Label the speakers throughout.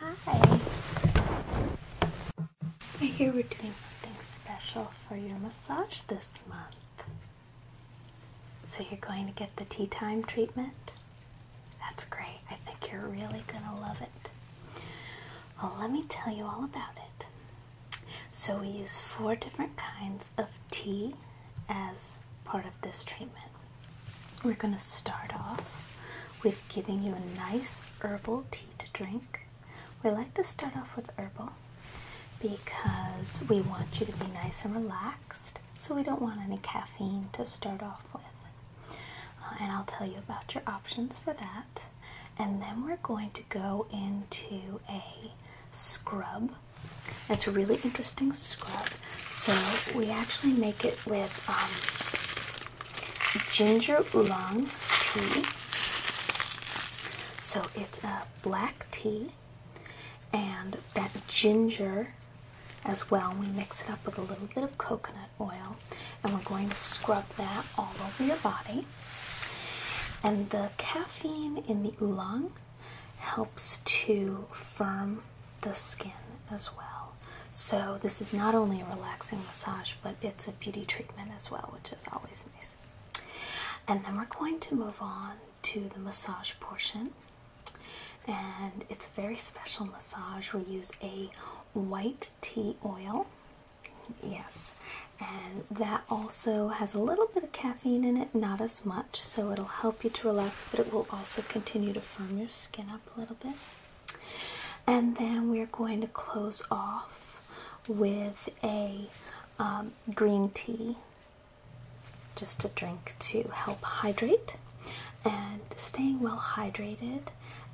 Speaker 1: Hi. Here we're doing something special for your massage this month. So you're going to get the tea time treatment? That's great. I think you're really going to love it. Well, let me tell you all about it. So we use four different kinds of tea as part of this treatment. We're going to start off with giving you a nice herbal tea to drink. We like to start off with herbal because we want you to be nice and relaxed, so we don't want any caffeine to start off with. Uh, and I'll tell you about your options for that. And then we're going to go into a scrub it's a really interesting scrub. So we actually make it with um, ginger oolong tea. So it's a black tea and that ginger as well. We mix it up with a little bit of coconut oil and we're going to scrub that all over your body. And the caffeine in the oolong helps to firm the skin as well. So, this is not only a relaxing massage, but it's a beauty treatment as well, which is always nice. And then we're going to move on to the massage portion. And it's a very special massage. We use a white tea oil. Yes, and that also has a little bit of caffeine in it, not as much so it'll help you to relax, but it will also continue to firm your skin up a little bit. And then we're going to close off with a um, green tea, just a drink to help hydrate. And staying well hydrated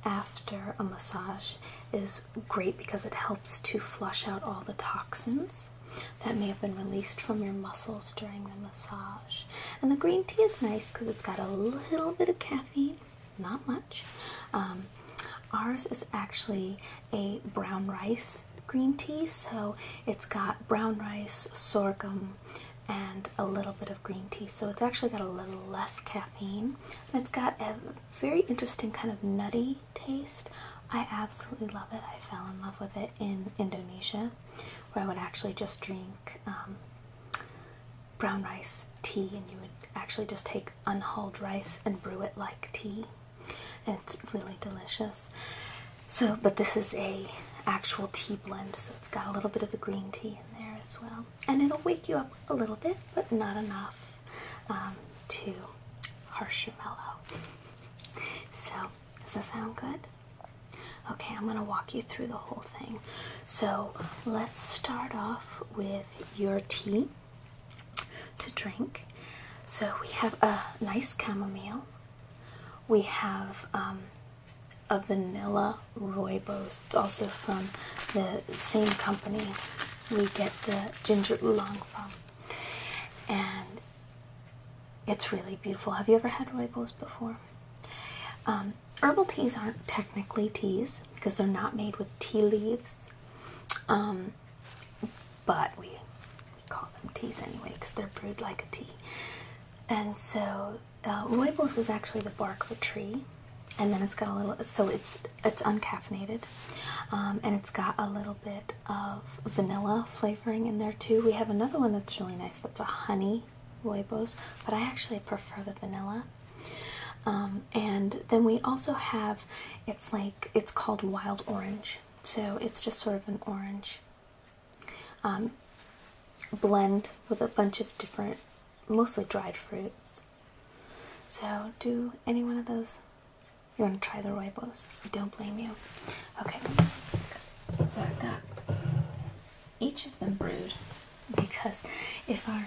Speaker 1: after a massage is great because it helps to flush out all the toxins that may have been released from your muscles during the massage. And the green tea is nice because it's got a little bit of caffeine, not much. Um, ours is actually a brown rice green tea, so it's got brown rice, sorghum, and a little bit of green tea. So it's actually got a little less caffeine. it's got a very interesting kind of nutty taste. I absolutely love it. I fell in love with it in Indonesia where I would actually just drink um, brown rice tea, and you would actually just take unhulled rice and brew it like tea, it's really delicious. So, but this is a actual tea blend, so it's got a little bit of the green tea in there as well, and it'll wake you up a little bit, but not enough um, to harsh your mellow. So, does that sound good? Okay, I'm going to walk you through the whole thing. So let's start off with your tea to drink. So we have a nice chamomile. We have um, a vanilla rooibos. It's also from the same company we get the ginger oolong from. And it's really beautiful. Have you ever had rooibos before? Um, herbal teas aren't technically teas because they're not made with tea leaves, um, but we, call them teas anyway because they're brewed like a tea. And so uh, rooibos is actually the bark of a tree, and then it's got a little. So it's it's uncaffeinated, um, and it's got a little bit of vanilla flavoring in there too. We have another one that's really nice it's a honey Roibos, but I actually prefer the vanilla. Um, and then we also have it's like it's called wild orange, so it's just sort of an orange um, blend with a bunch of different, mostly dried fruits. So, do any one of those? You want to try the Roibos? yes, don't blame you. Okay, so I've got each of them brewed because if our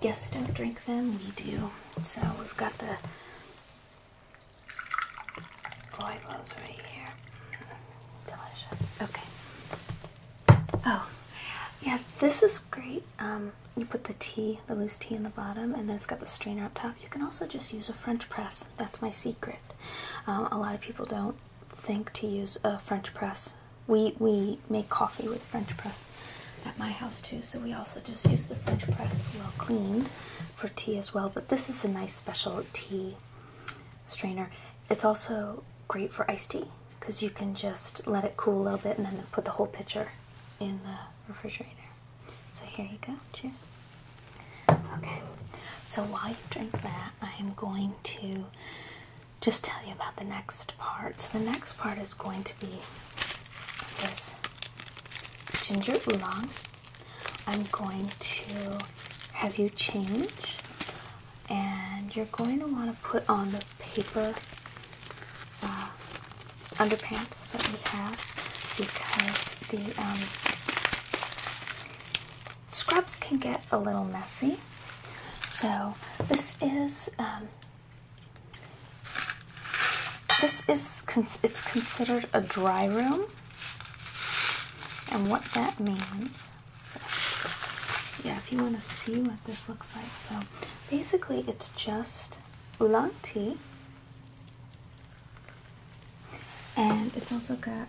Speaker 1: guests don't drink them, we do. So we've got the Roylos right here. Delicious. Okay. Oh, yeah, this is great. Um, you put the tea, the loose tea in the bottom, and then it's got the strainer up top. You can also just use a French press. That's my secret. Um, a lot of people don't think to use a French press. We we make coffee with French press at my house too, so we also just use the French press well cleaned for tea as well. But this is a nice special tea strainer. It's also great for iced tea because you can just let it cool a little bit and then put the whole pitcher in the refrigerator. So here you go. Cheers. Okay, so while you drink that, I am going to just tell you about the next part. So, the next part is going to be this ginger oolong. I'm going to have you change, and you're going to want to put on the paper uh, underpants that we have because the um, scrubs can get a little messy. So this is um, this is it's considered a dry room, and what that means. yeah, if you want to see what this looks like, so basically it's just oolong tea and it's also got,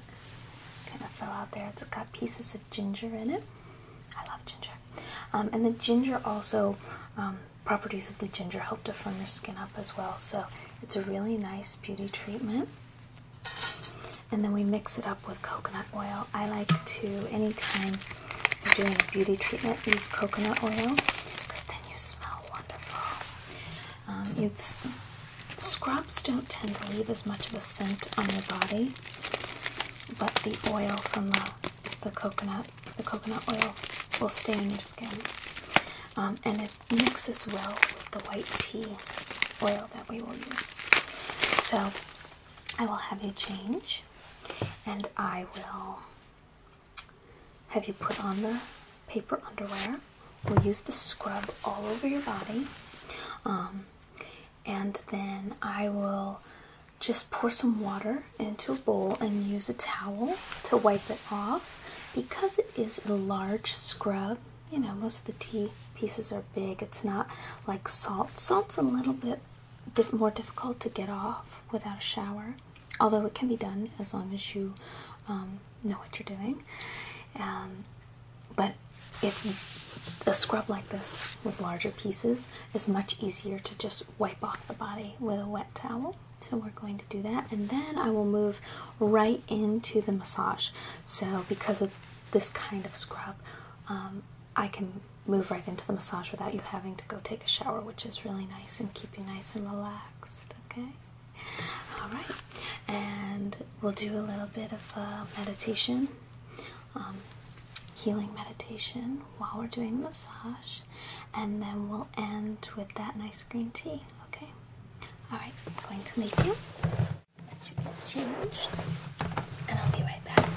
Speaker 1: kind of fell out there, it's got pieces of ginger in it. I love ginger. Um, and the ginger also, um, properties of the ginger help to firm your skin up as well. So it's a really nice beauty treatment. And then we mix it up with coconut oil. I like to, anytime you're doing a beauty treatment, use coconut oil because then you smell wonderful. Um, it's scrubs don't tend to leave as much of a scent on your body, but the oil from the the coconut the coconut oil will stay on your skin, um, and it mixes well with the white tea oil that we will use. So I will have you change, and I will have you put on the paper underwear. We'll use the scrub all over your body. Um, and then I will just pour some water into a bowl and use a towel to wipe it off. Because it is a large scrub, you know, most of the tea pieces are big. It's not like salt. Salt's a little bit more difficult to get off without a shower, although it can be done as long as you um, know what you're doing. Um, but it's a scrub like this with larger pieces is much easier to just wipe off the body with a wet towel. So we're going to do that, and then I will move right into the massage. So because of this kind of scrub, um, I can move right into the massage without you having to go take a shower, which is really nice and keep you nice and relaxed. Okay. All right, and we'll do a little bit of uh, meditation, um, healing meditation while we're doing the massage, and then we'll end with that nice green tea. Okay. All right, I'm going to leave you. Changed, and I'll be right back.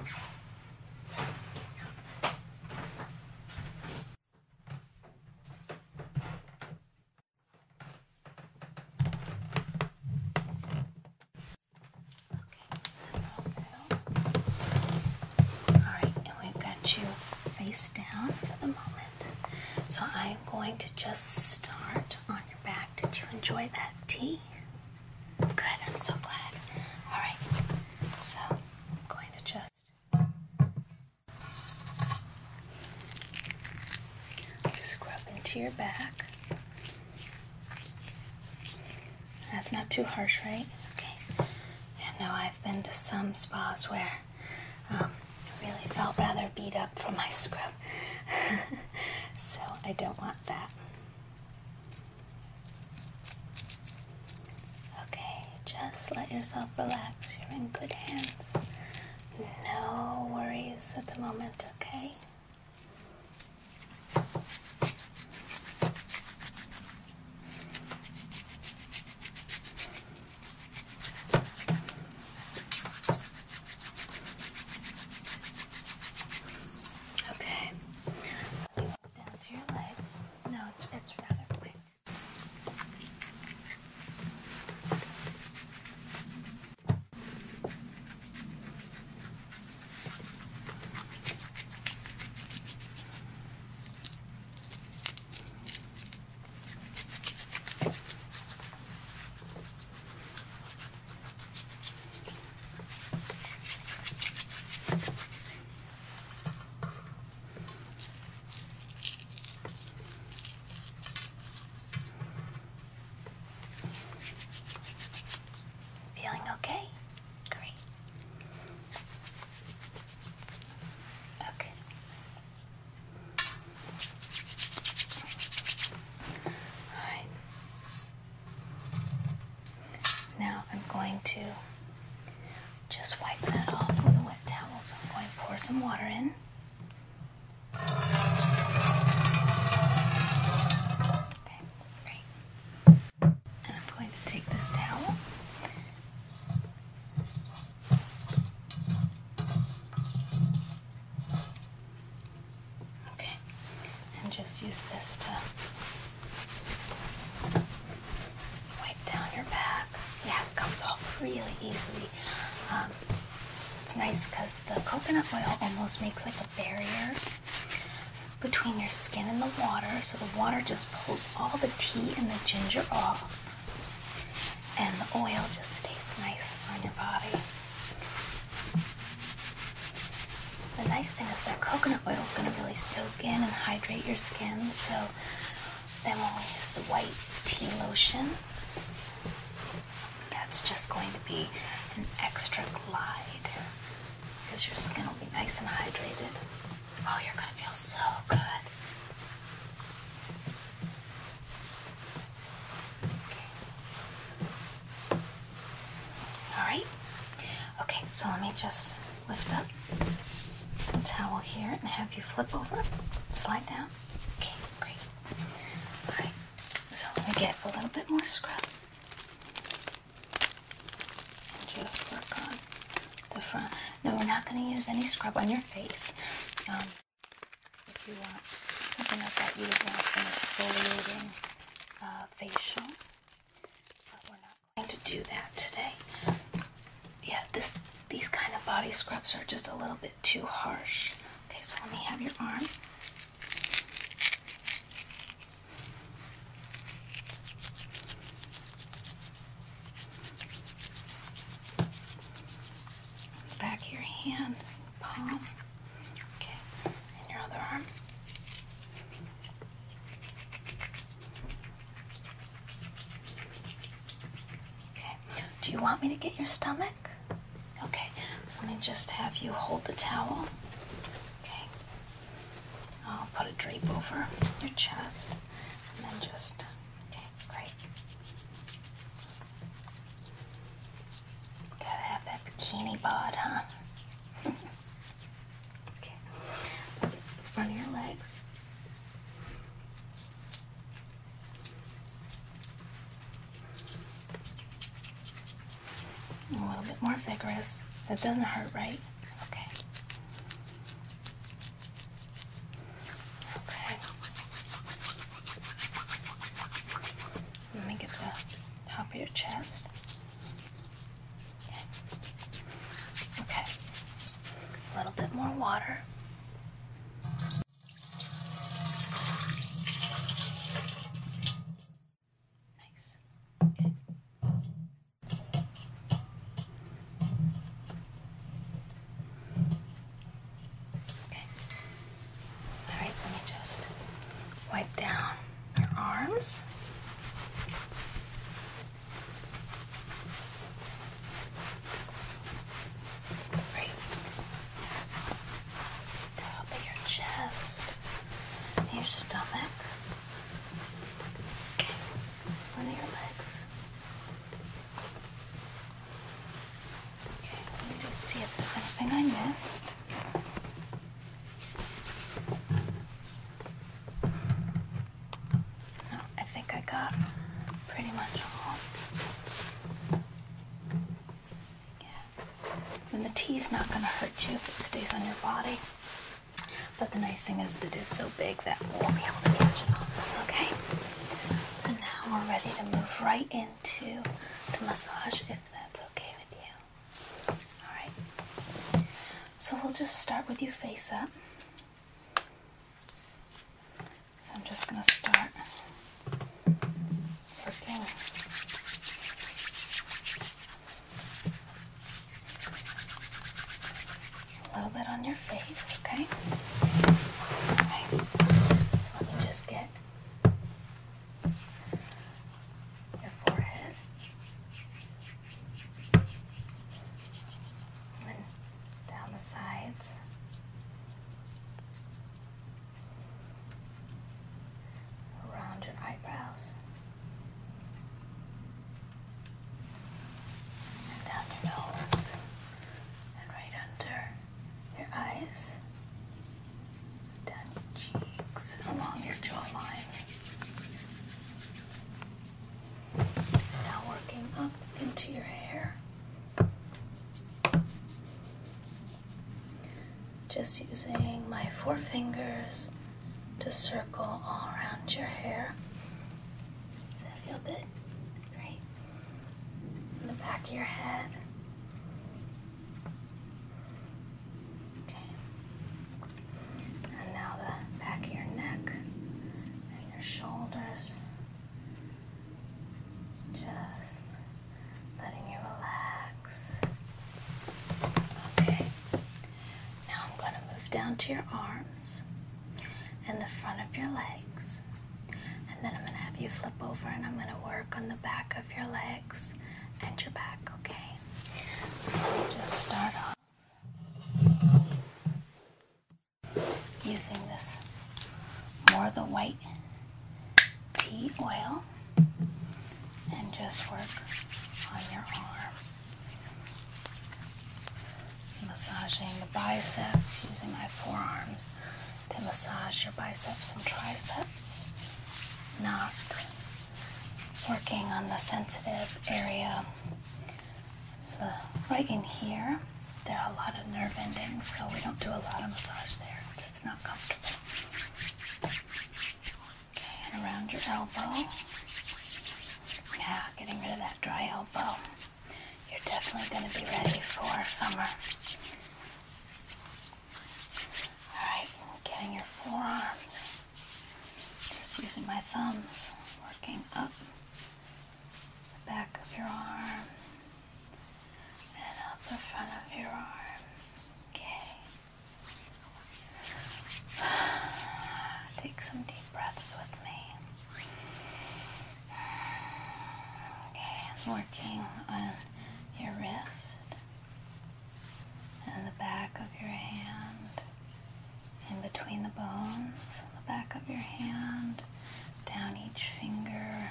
Speaker 1: Okay, so we're all settled. Alright, and we've got you face down for the moment. So I'm going to just start on your back. Did you enjoy that tea? Good, I'm so glad. Alright, so I'm going to just scrub into your back. That's not too harsh, right? Okay. I know I've been to some spas where um, I really felt rather beat up from my scrub. so I don't want that. Okay, just let yourself relax. You're in good hands. No worries at the moment, okay? Okay. Down to your legs. No, it's it's rather quick. Feeling okay? Great. Okay. All right. Now I'm going to just wipe that off with a wet towel. So I'm going to pour some water in. Okay, great. And I'm going to take this towel. Okay, and just use this to wipe down your back. Yeah, it comes off really easily. Um, it's nice because the coconut oil almost makes like a barrier between your skin and the water, so the water just pulls all the tea and the ginger off, and the oil just stays nice on your body. The nice thing is that coconut oil is going to really soak in and hydrate your skin, so then when we use the white tea lotion, that's just going to be an extra glide because your skin will be nice and hydrated. Oh, you're going to feel so good. Okay. Alright? Okay, so let me just lift up the towel here and have you flip over, slide down. Okay, great. Alright, so let me get a little bit more scrub. And just work on the front. No, we're not going to use any scrub on your face. Um, if you want something like that, you would want an exfoliating. Uh, facial, but we're not going to do that today. Yeah, this these kind of body scrubs are just a little bit too harsh. Okay, so let me have your arm. back of your hand palm. Okay, and your other arm. Okay, do you want me to get your stomach? Okay, so let me just have you hold the towel. Okay, I'll put a drape over your chest and then just. Okay, great. Gotta have that bikini bod, huh? okay. Front of your legs. A little bit more vigorous. That doesn't hurt, right? Okay. Okay. Let me get the top of your chest. Okay. Okay. A little bit more water. Nice. Okay. All right, let me just wipe down your arms. Great. Top of your chest, your stomach, okay. one of your legs. Okay, let me just see if there's anything I missed. I think I got pretty much all. Yeah. And the tea's not going to hurt you if it stays on your body. But the nice thing is it is so big that we'll be able to catch it all. Okay? So now we're ready to move right into the massage if that's okay with you. Alright. So we'll just start with you face up. So I'm just going to start working a little bit on your face, okay? Alright. So let me just get your forehead. down the sides. Around your eyebrows. down your nose. And right under your eyes, down your cheeks, along your jawline. Now working up into your hair. Just using my four fingers to circle all around your hair. Does that feel good? Great. In the back of your head. Okay. And now the back of your neck and your shoulders. Just letting you relax. Okay. Now I'm going to move down to your arms and the front of your legs. And then I'm going to have you flip over and I'm going to work on the back of your legs and your back, okay? just start off using this more of the white tea oil and just work on your arm. Massaging the biceps using my forearms to massage your biceps and triceps. not working on the sensitive area right in here. There are a lot of nerve endings, so we don't do a lot of massage there it's not comfortable. Okay, and around your elbow. Yeah, getting rid of that dry elbow. You're definitely going to be ready for summer. Alright, getting your forearms. Just using my thumbs, working up the back of your arm and up the front of your arm. Okay. Take some deep breaths with me. Okay, working on your wrist and the back of your hand, in between the bones on the back of your hand, down each finger,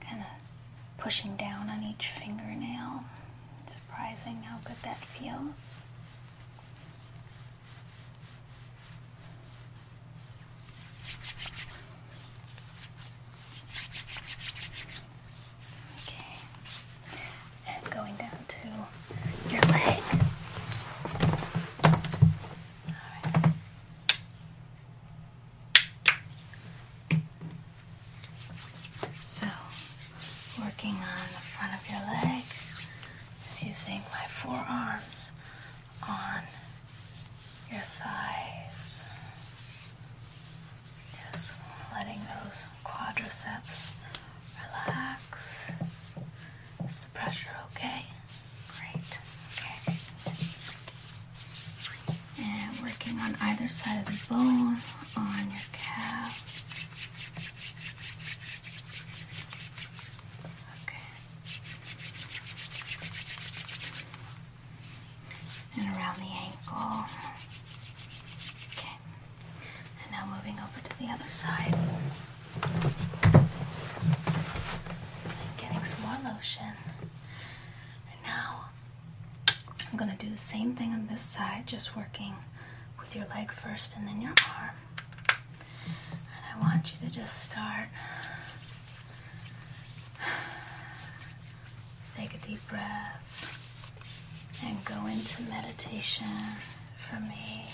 Speaker 1: kind of pushing down on each fingernail. Surprising how good that feels. Okay. And going down to your leg. So, working on the front of your leg, just using my forearms on your thighs. Just letting those quadriceps relax. Is the pressure okay? Great. Okay. And working on either side of the bone on your calf. Okay and around the ankle. Okay, and now moving over to the other side. I'm getting some more lotion. And now I'm going to do the same thing on this side, just working with your leg first and then your arm. And I want you to just start take a deep breath and go into meditation for me.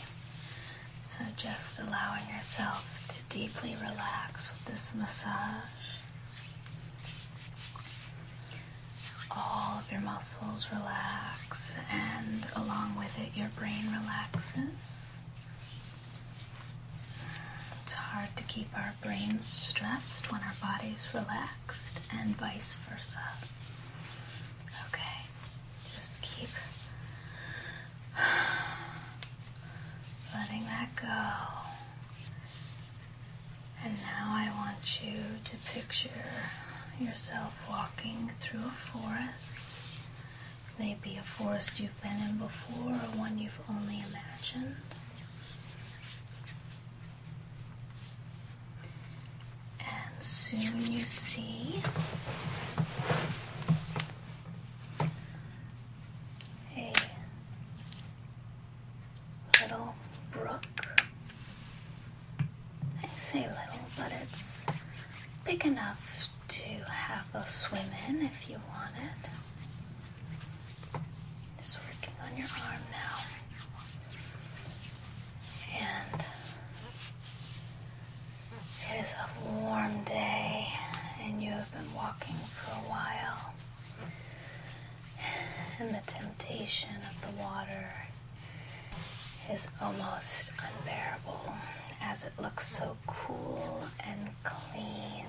Speaker 1: So, just allowing yourself to deeply relax with this massage. All of your muscles relax, and along with it, your brain relaxes. It's hard to keep our brains stressed when our body's relaxed, and vice versa. Okay, just keep letting that go. And now I want you to picture yourself walking through a forest. Maybe a forest you been in before or one you've only imagined. And soon you see a little brook. I say little, but it's big enough to have a swim in if you want it. Just working on your arm now. And it is a warm day, and you have been walking for a while. And the temptation of the water is almost unbearable as it looks so cool and clean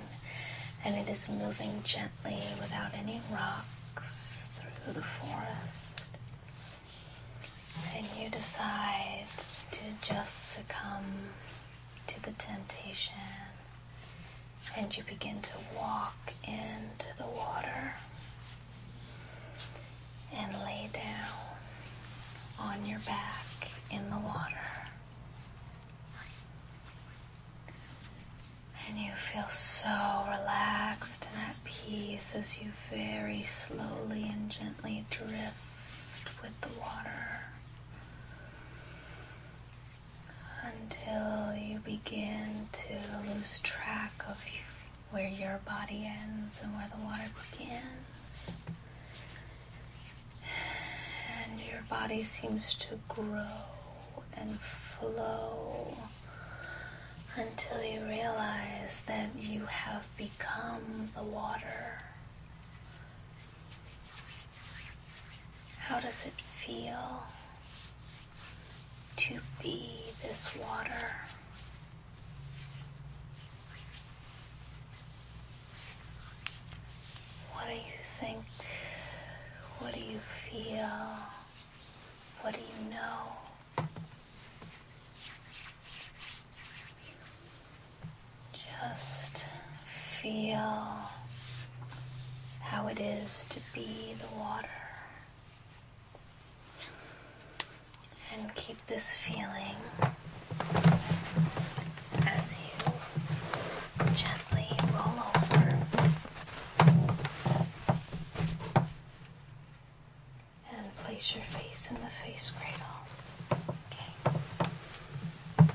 Speaker 1: and it is moving gently without any rocks through the forest. And you decide to just succumb to the temptation and you begin to walk into the water and lay down on your back in the water. And you feel so relaxed and at peace as you very slowly and gently drift with the water until you begin to lose track of where your body ends and where the water begins and your body seems to grow and flow until you realize that you have become the water. How does it feel to be this water? What do you think? What do you feel? What do you know? Just feel how it is to be the water. And keep this feeling as you gently roll over and place your face in the face cradle. Okay.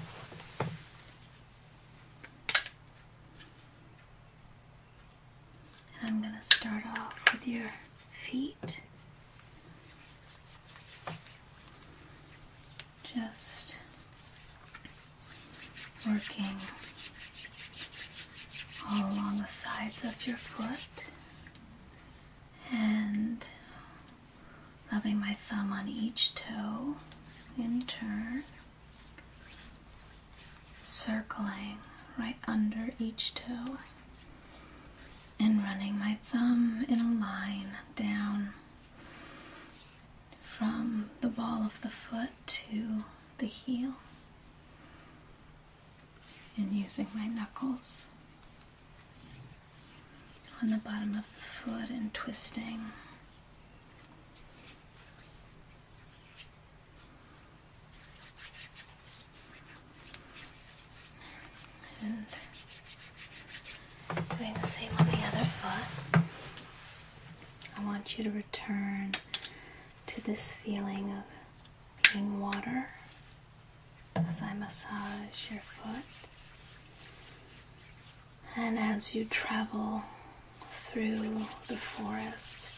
Speaker 1: And I'm going to start off with your feet just working all along the sides of your foot and rubbing my thumb on each toe in turn, circling right under each toe, and running my thumb in a line down from the ball of the foot to the heel, and using my knuckles on the bottom of the foot and twisting. And doing the same on the other foot. I want you to return to this feeling of being water as I massage your foot. And as you travel through the forest,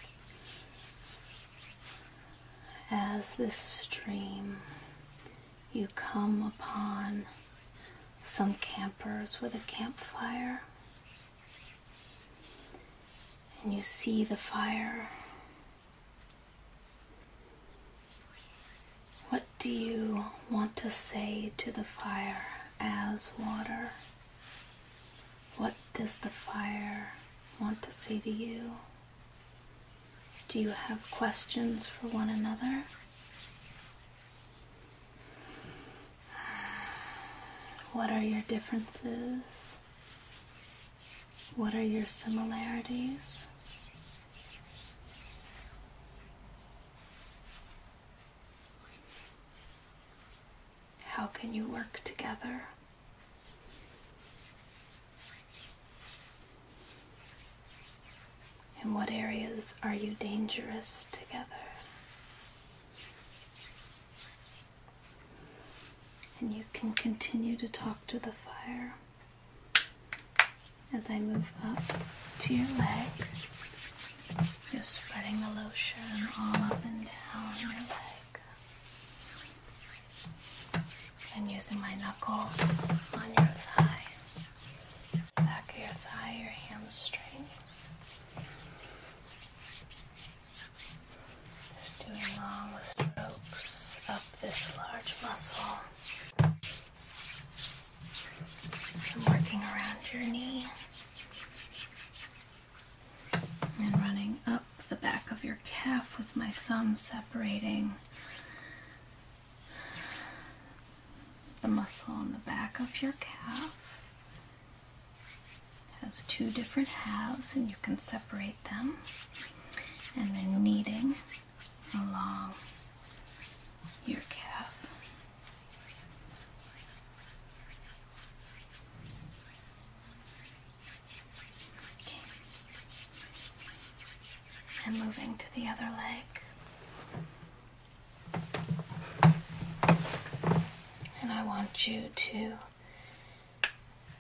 Speaker 1: as this stream you come upon some campers with a campfire and you see the fire. What do you want to say to the fire as water? What does the fire want to say to you? Do you have questions for one another? What are your differences? What are your similarities? How can you work together? In what areas are you dangerous together? And you can continue to talk to the fire as I move up to your leg. You're spreading the lotion all up and down your leg. And using my knuckles on your thigh back of your thigh, your hamstrings. Just doing long strokes up this large muscle. I'm working around your knee and running up the back of your calf with my thumb separating the muscle on the back of your calf has two different halves, and you can separate them. And then kneading along your calf and moving to the other leg. And I want you to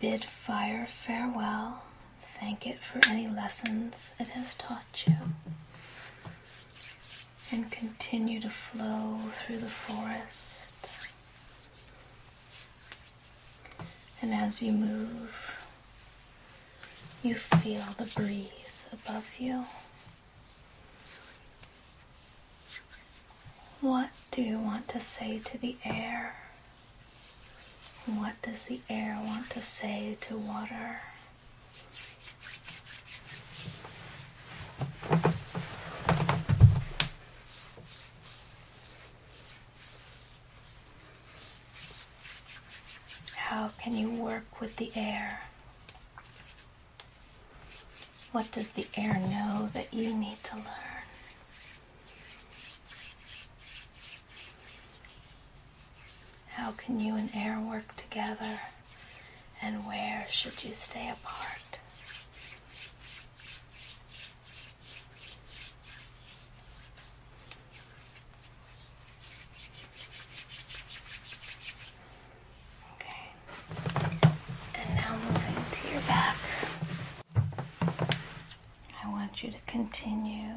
Speaker 1: bid fire farewell, thank it for any lessons it has taught you, and continue to flow through the forest. And as you move, you feel the breeze above you. What do you want to say to the air? What does the air want to say to water? How can you work with the air? What does the air know that you need to learn? How can you and air work together? And where should you stay apart? Okay. And now moving to your back. I want you to continue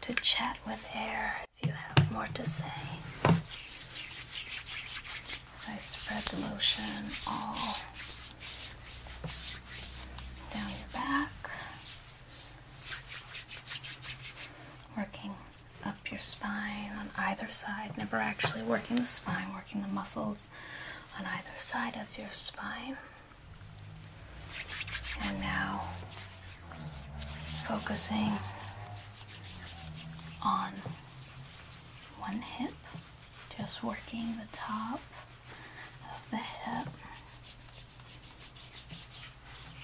Speaker 1: to chat with air if you have more to say. As I spread the lotion all down your back, Working up your spine on either side, never actually working the spine, working the muscles on either side of your spine. And now focusing on one hip, just working the top of the hip.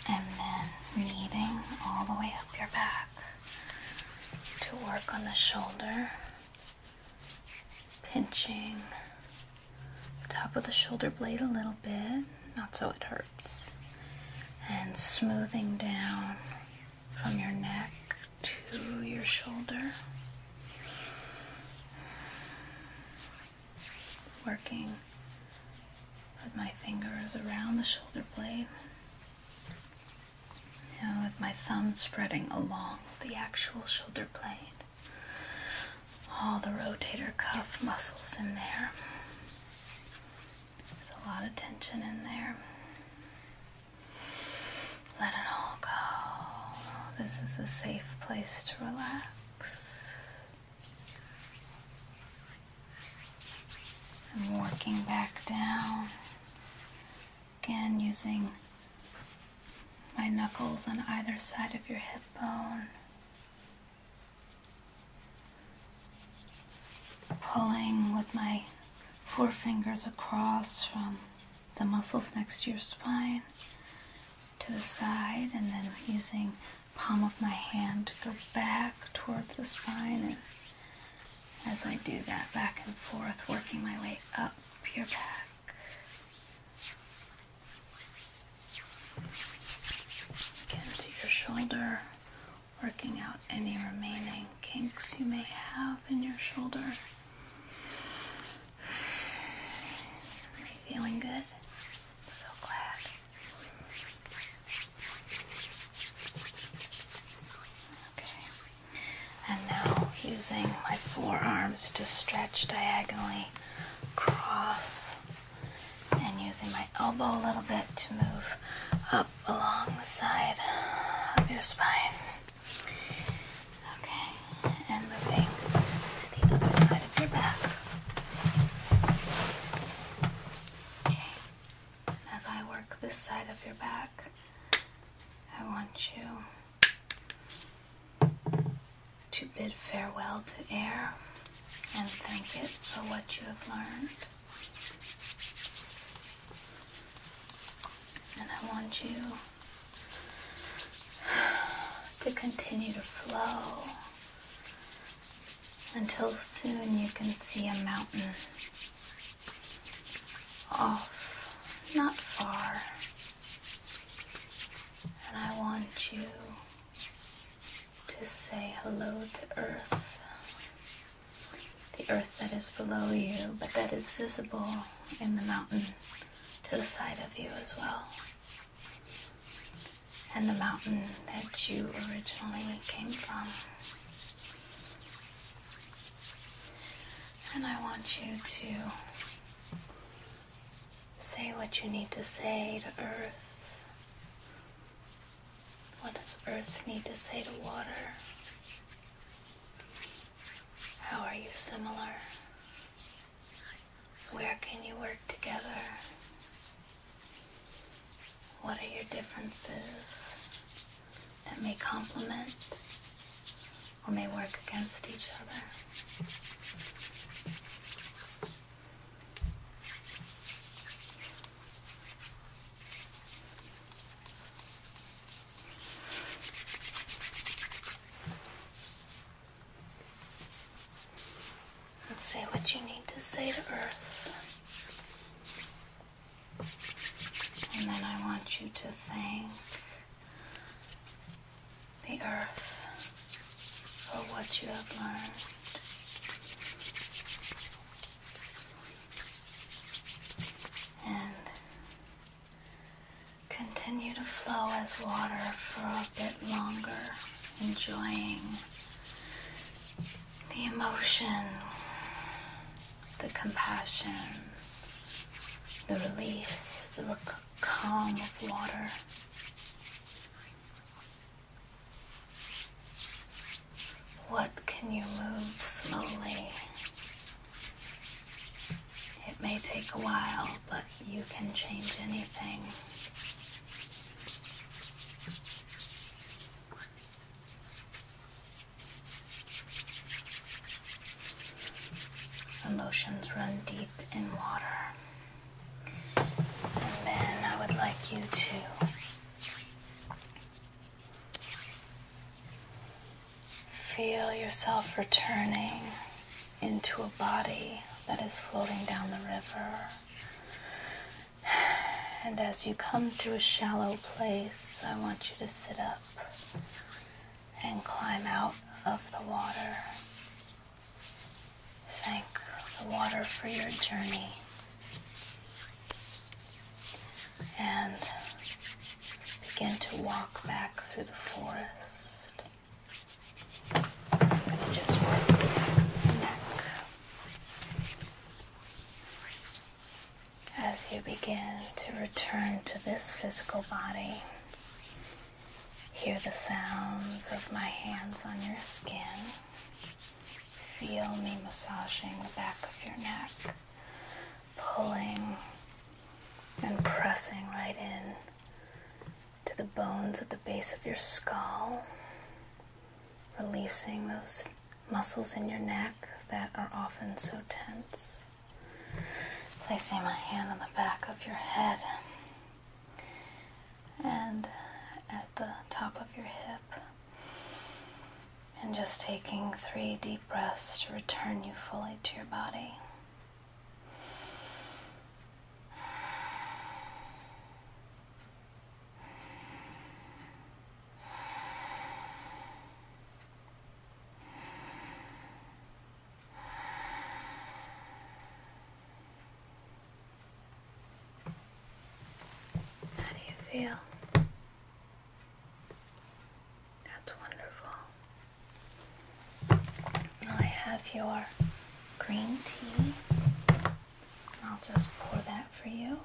Speaker 1: And then kneading all the way up your back to work on the shoulder, pinching the top of the shoulder blade a little bit, not so it hurts, and smoothing down from your neck to your shoulder working with my fingers around the shoulder blade. Now, with my thumb spreading along the actual shoulder blade, all the rotator cuff muscles in there. There's a lot of tension in there. Let it all go. This is a safe place to relax. I'm working back down. Again, using my knuckles on either side of your hip bone. Pulling with my forefingers across from the muscles next to your spine to the side and then using palm of my hand to go back towards the spine as I do that back and forth working my way up your back again to your shoulder working out any remaining kinks you may have in your shoulder feeling good so glad. Okay. And now using my forearms to stretch diagonally across and using my elbow a little bit to move up along the side of your spine. Okay and moving to the other side of your back. Okay, as I work this side of your back, I want you to bid farewell to air and thank it for what you have learned. And I want you to continue to flow until soon you can see a mountain off, not far. And I want you to say hello to Earth. The Earth that is below you, but that is visible in the mountain to the side of you as well and the mountain that you originally came from. And I want you to say what you need to say to Earth. What does Earth need to say to water? How are you similar? Where can you work together? What are your differences that may complement or may work against each other? and say what you need to say to Earth. And then I want you to thank the Earth for what you have learned. And Continue to flow as water for a bit longer, enjoying the emotion, the compassion, the release, the calm of water. What can you move slowly? It may take a while, but you can change anything. Emotions run deep in water. And then I would like you to feel yourself returning into a body that is floating down the river. And as you come to a shallow place, I want you to sit up and climb out of the water. Thank the water for your journey. And begin to walk back through the forest as you begin to return to this physical body. Hear the sounds of my hands on your skin. Feel me massaging the back of your neck, pulling and pressing right in to the bones at the base of your skull, releasing those muscles in your neck that are often so tense. Placing my hand on the back of your head and at the top of your hip. And just taking three deep breaths to return you fully to your body. How do you feel? That's wonderful. I have your green tea. I'll just pour that for you.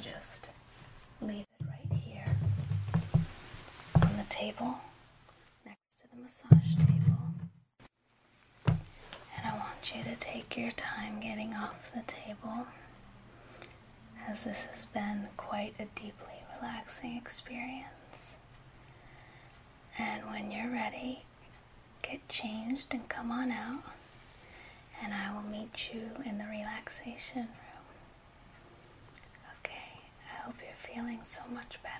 Speaker 1: just leave it right here on the table next to the massage table. And I want you to take your time getting off the table as this has been quite a deeply relaxing experience. And when you're ready, get changed and come on out, and I will meet you in the relaxation room. Okay, I hope you're feeling so much better.